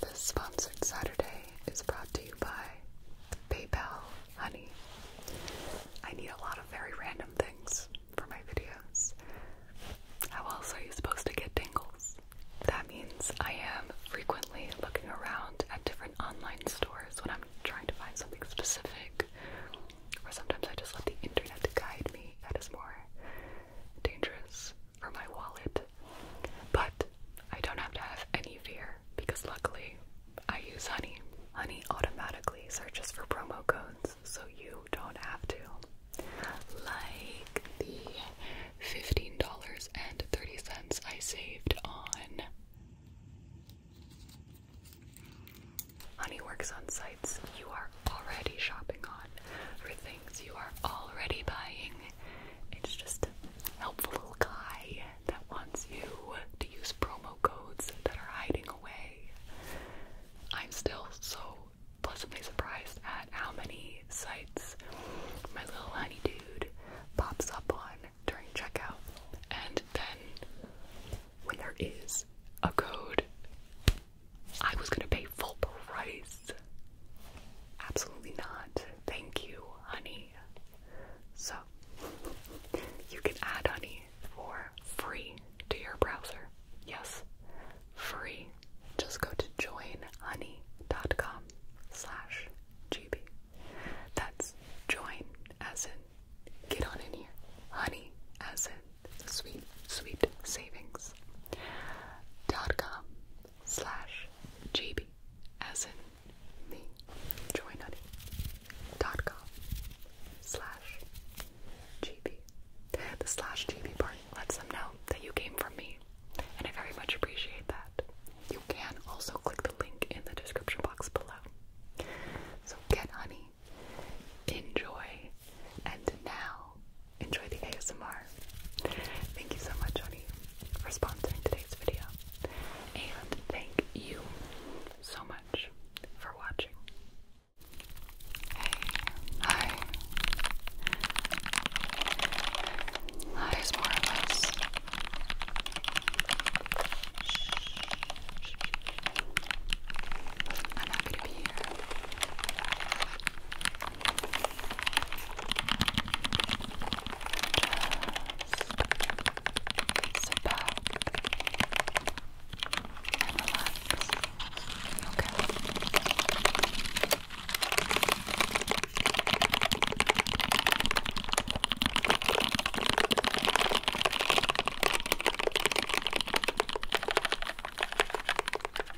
This sponsored Saturday is brought to you by PayPal Honey. I need a lot of very random things for my videos. How else are you supposed to get tingles? That means I am frequently looking around at different online stores when I'm trying to find something specific, or sometimes I just let the internet guide me. That is more dangerous or my wallet. But I don't have to have any fear because luckily I use Honey. Honey automatically searches for promo codes so you don't have to. Like the $15.30 I saved on. Honey works on sites you are already shopping on for things you are already buying it's just a helpful little guy that wants you to use promo codes that are hiding away. I'm still so pleasantly surprised at how many sites my little honey dude pops up on during checkout. And then when there is a code, I was gonna pay full price Absolutely not. Thank you, honey. So, you can add honey for free to your browser. Yes, free. Just go to joinhoney.com slash gb. That's join as in get on in here. Honey as in sweet, sweet savings. Dot com slash JB as in me joynutty.com slash GB. The slash GB part lets them know that you came from me, and I very much appreciate that. You can also click the link in the description box below. So get honey, enjoy, and now enjoy the ASMR. Thank you so much, Oni, for sponsoring today's video. And thank you so much for watching. Hey, hi. There's more of us. I'm happy here. Just sit back and relax. Okay. Okay.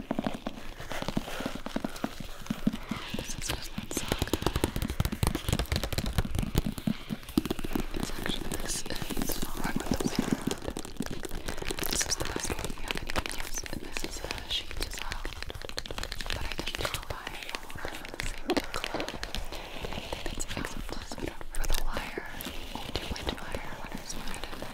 This is not so good. actually is right with the wind. This is the best one you can even a sheet as well. But I didn't do the same club. It's Do wind wire when I started.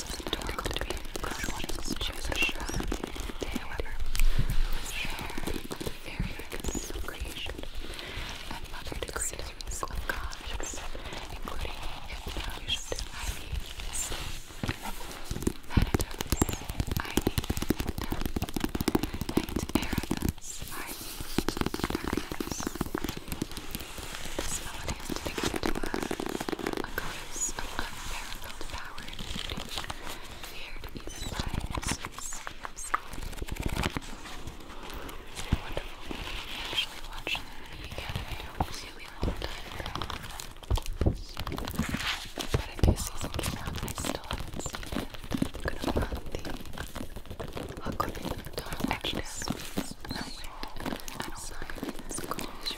some adorable dream wanting to choose a however, who is fair, very goodness of and mother to great including Hypnos, Ivy, Manatus, Ivy, Night Erebus, Ivy, Darkness. This melody is dedicated to a, a goddess of unparalleled power and meditation, feared even by essence. Wonderful. We really long time ago. But a season came out I still haven't it. I'm going the Huckleberry Dog. Actually, no, wait. I don't know.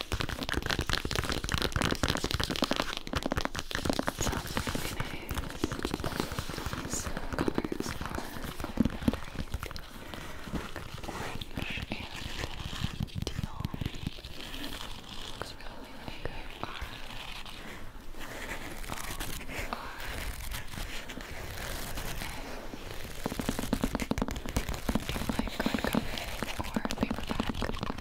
Sounds really nice. These colors are orange and teal. Looks really, really good. R. O. R. do you like hardcover or paperback?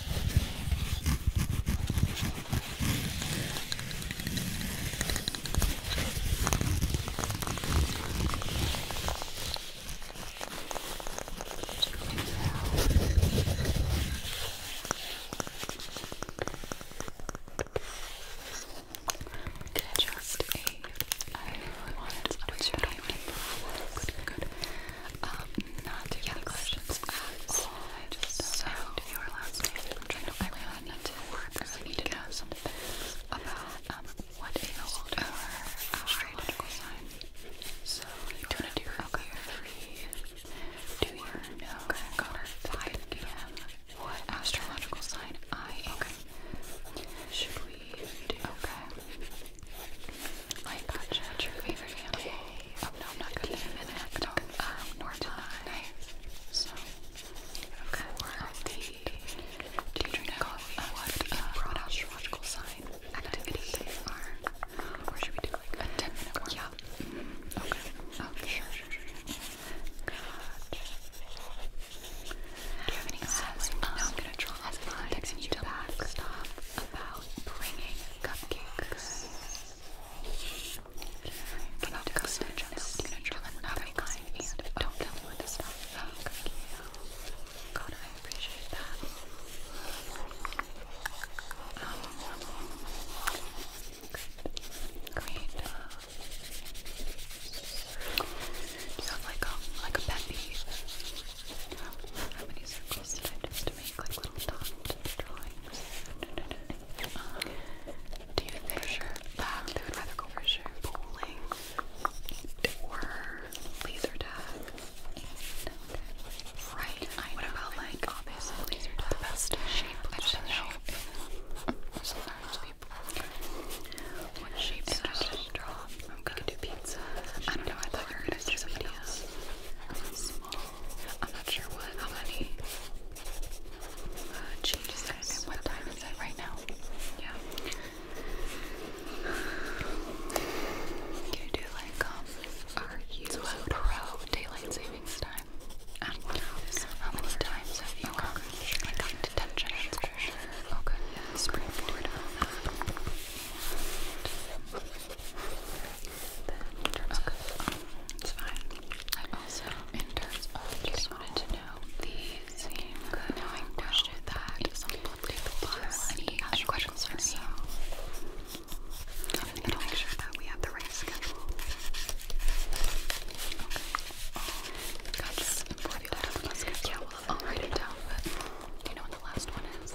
Can I just a I wanted to do it. Good, good. Um, not too many questions at I just so to your last name. trying to I really need to I need to know some things about um, what is or astrological sign. So you want to do okay. three, do you okay. got it. 5 p.m. what astrological sign I Okay. Should we do? Okay. I gotcha. favorite animal? Oh no, I'm not good at an animal. Um, nor do I. So, okay. do you drink coffee? what uh, astrological sign activities are? Or should we do like a 10 minute one? Mm-hmm. Okay. Okay. Oh, sure, sure, sure. Gotcha. Do you have any signs? I'm gonna draw a line and you tell stop about bringing cupcakes. Can I do custom channels? You can draw another kind don't tell me what to stop. Thank you. God, I appreciate that. Um, great. Do like a, like a pet How many circles did I just to do you think sure. um, they would rather go for sure bowling or laser tag? Right. I know. about like obviously laser tag? best shape. I don't know. I thought you were gonna do something else small. I'm not sure what, how many uh, changes what time is it right now? Yeah. Can you do like, um, are you pro daylight savings time? How many times have you gotten okay. Okay, spring it's fine. I also, in terms of, just wanted to know the same knowing question that some any other questions for me. I need to make sure that we have the right schedule. Okay. That's important. Yeah, well, I'll write it down, but you know what the last one is?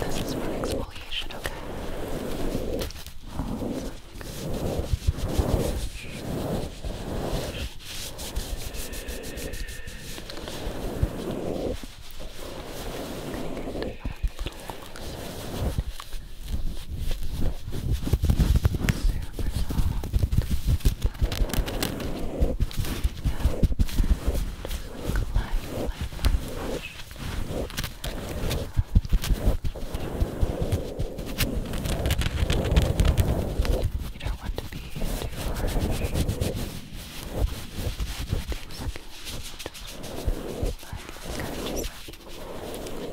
This is for exfoliation, okay? Super soft. You don't want to be too harsh. Everything's good. Just like kind of just like helping it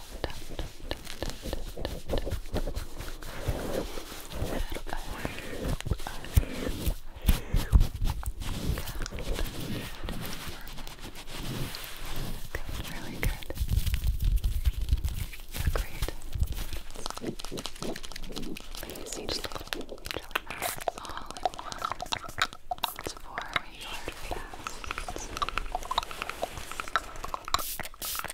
really good. You're great. But you see, just little jelly masks all in one. It's for your fast.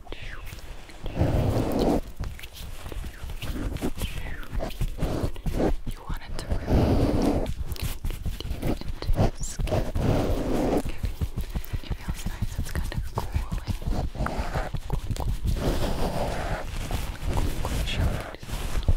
You want it to really deep into your skin. It feels nice, it's kind of cooling. Cooling, cooling. Cooling, cooling showers. Good.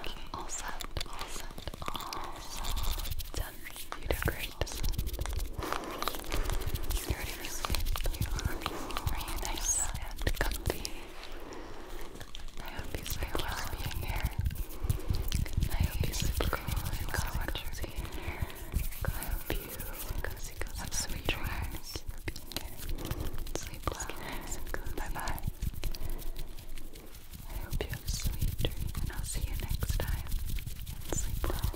Okay. All set, all set, all done. You did great. You're ready for sleep. You are. Are you nice and comfy? I hope you sleep well being here. I hope you sleep cool and comfy being here. I hope you have sweet dreams. Okay. Sleep well. Bye I hope you have sweet dreams, and I'll see you next time. sleep well.